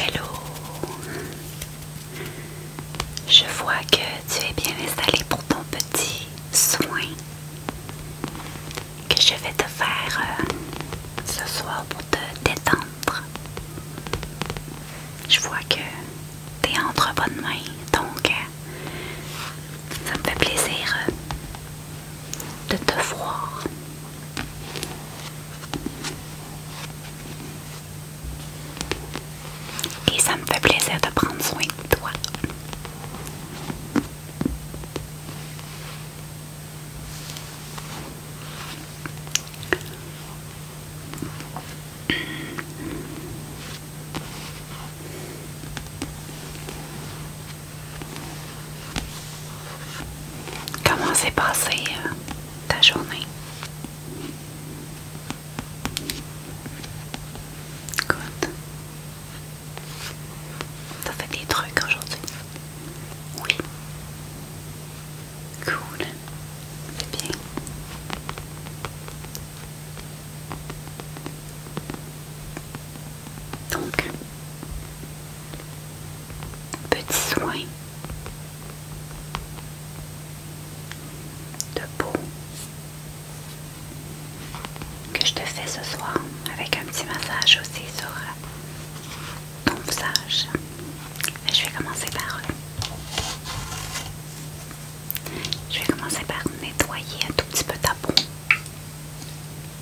Hello! Je vois que tu es bien installé pour ton petit soin que je vais te faire euh, ce soir pour te détendre. Je vois que tu es entre bonnes mains, donc euh, ça me fait plaisir euh, de te voir. Et ça me fait plaisir de prendre soin de toi. Comment s'est passée euh, ta journée? Tu T'as fait des trucs aujourd'hui? Oui. Cool. C'est bien. Donc, petit soin de peau que je te fais ce soir avec un petit massage aussi sur ton visage. Je vais commencer par... Je vais commencer par nettoyer un tout petit peu ta peau.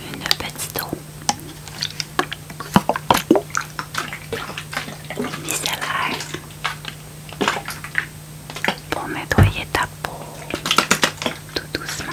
Une petite eau. à Micellaire pour nettoyer ta peau tout doucement.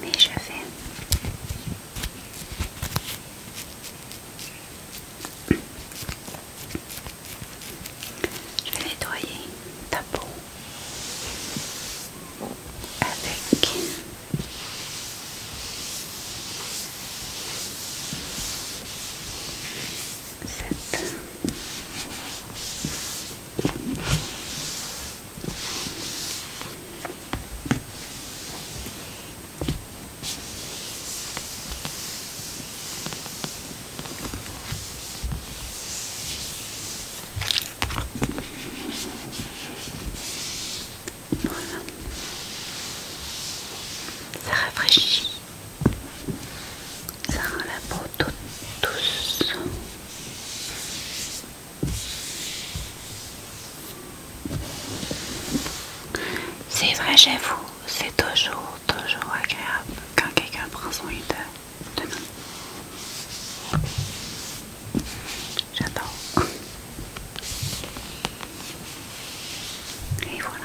mais je vais je vais nettoyer ta peau avec cette ça rafraîchit, ça rend la peau toute douce. C'est vrai, j'avoue, c'est toujours, toujours agréable quand quelqu'un prend son de, de nous. J'adore. Et voilà.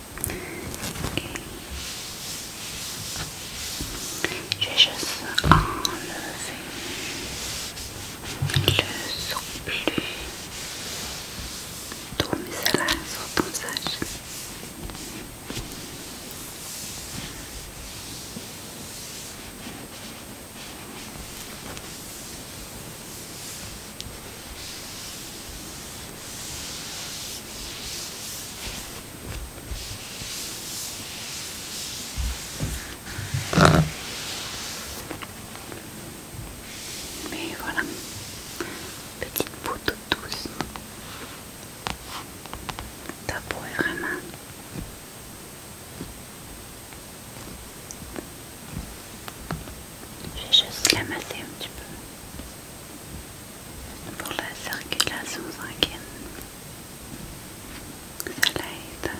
je vais juste enlever le surplus sur mais voilà, petite peau douce. Ta peau vraiment je vais juste l'amasser un petit peu pour la circulation sanguine. Ça l'aide.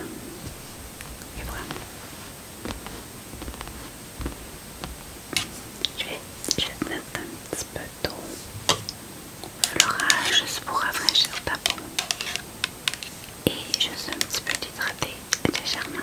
Et voilà. Je vais, je vais mettre un petit peu d'eau florale juste pour rafraîchir ta peau et juste un petit peu d'hydrater légèrement.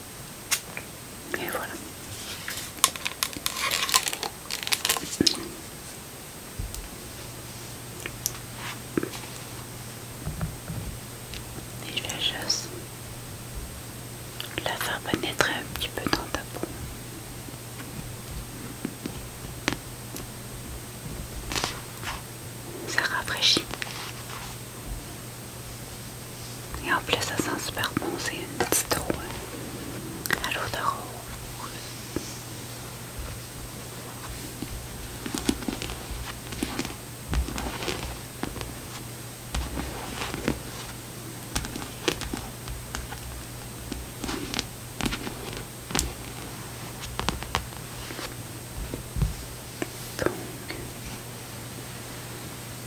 Et voilà. Et je la juste la faire pénétrer un petit peu dans ta peau. Ça rafraîchit. Et en plus, ça sent super bon. C'est une petite eau Alors, de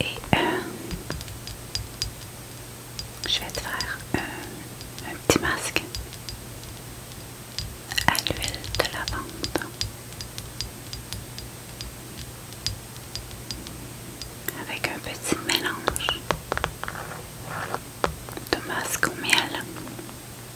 Et euh, je vais te faire un, euh, un petit masque à l'huile de lavande avec un petit mélange de masque au miel.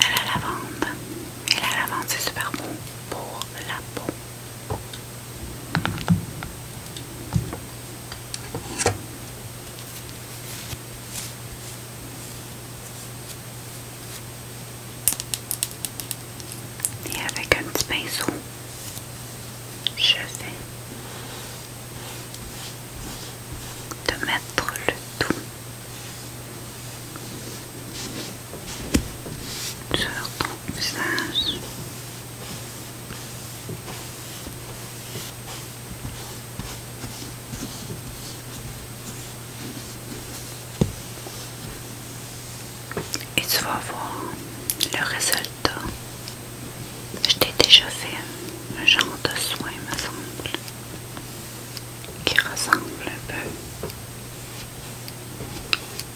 la lavande. Et la lavande, c'est super bon pour la peau. Et avec un petit pinceau, je vais te mettre le tout et tu vas voir le résultat. Je t'ai déjà fait un genre de soin, me semble qui ressemble un peu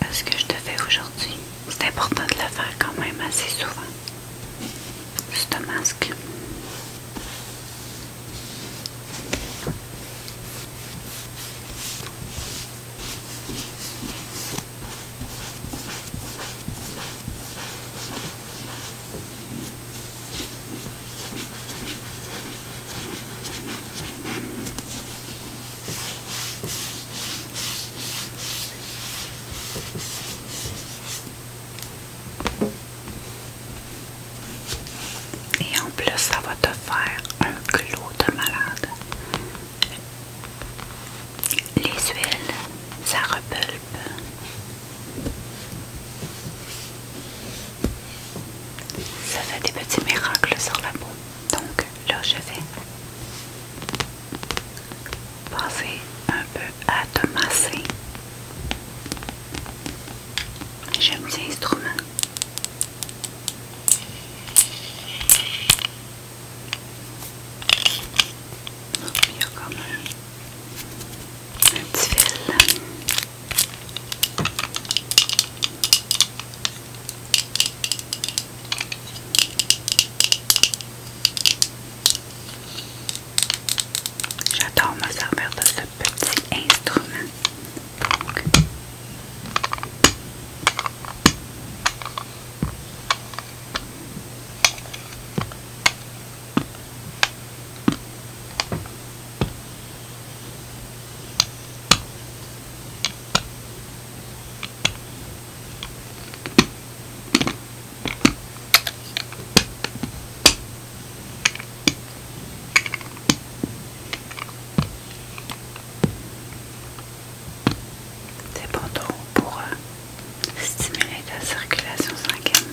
à ce que je te fais aujourd'hui. C'est important de le faire quand même assez souvent. un masque. Et en plus, ça va te faire un clou de malade. Les huiles, ça repulpe. Ça fait des petits miracles sur la peau. Donc là, je vais passer un peu à te masser. J'ai un petit instrument. il y a comme un J'adore me servir de ce petit instrument. C'est pour euh, stimuler la circulation sanguine.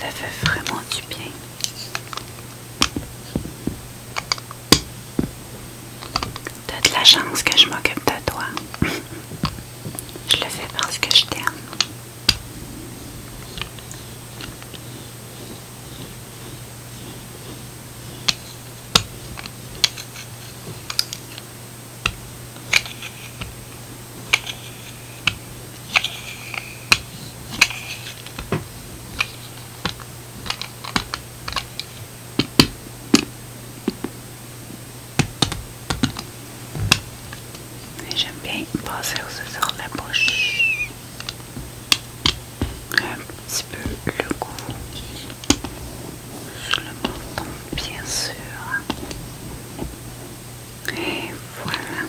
Ça fait vraiment du bien. T'as de la chance que je m'occupe de toi. je le fais parce que je t'aime. Et j'aime bien passer aussi sur la bouche. Un petit peu le goût. Sur le menton, bien sûr. Et voilà.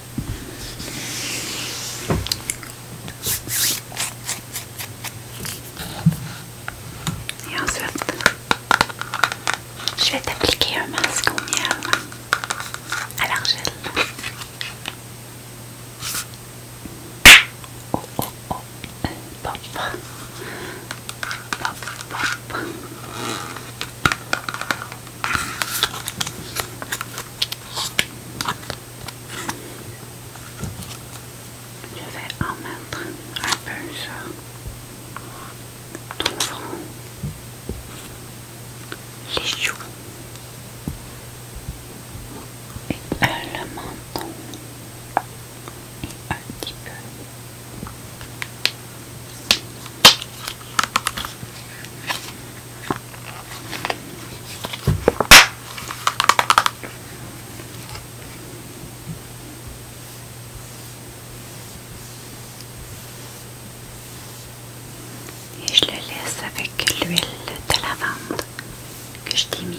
Et ensuite, je vais t'appliquer un masque au miel à l'argile. Oh, oh, oh. Je vais en mettre un peu sur ton front, les joues et un le menton et un petit peu. Et je le laisse avec l'huile de lavande que je t'ai mis.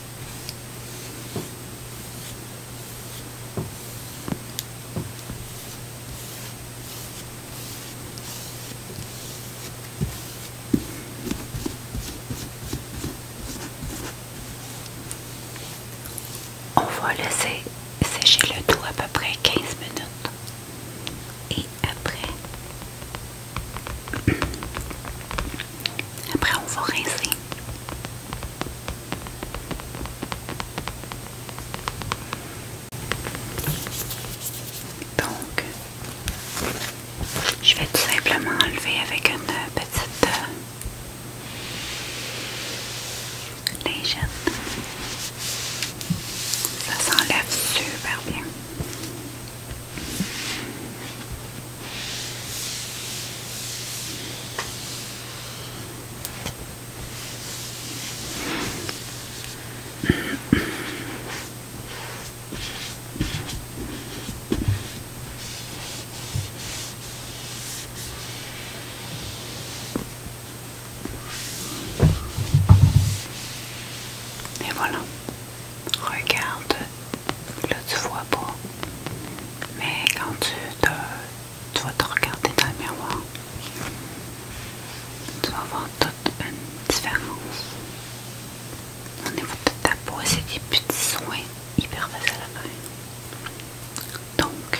On va laisser sécher le tout à peu près 15 minutes et après après, on va rincer. Donc, je vais tout simplement enlever avec une petite euh, lingette. Ça s'enlève super bien. Et voilà, regarde Là, tu vois pas. Mais quand tu, te, vas te regarder dans le miroir, tu vas voir toute une différence. Au niveau de ta peau, c'est des petits soins hyper faciles à faire. Donc,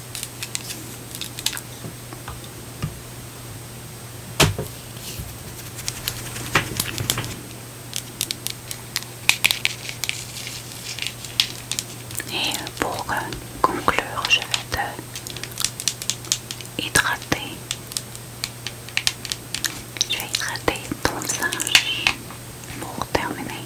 Et pour euh, conclure, je vais te hydrater. Je vais hydrater ton visage pour terminer.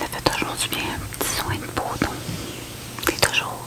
Ça fait toujours du bien un petit soin de peau, donc c'est toujours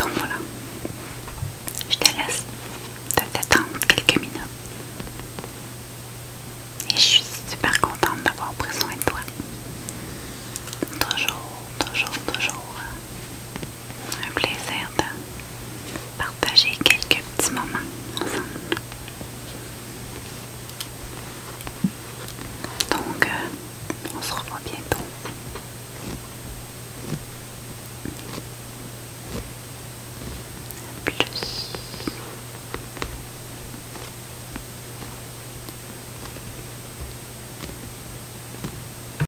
Donc voilà, je te laisse t'attendre quelques minutes. Et je suis super contente d'avoir pris soin de toi. Toujours, toujours, toujours un plaisir de partager quelques petits moments ensemble. Donc, euh, on se revoit bientôt. Plus.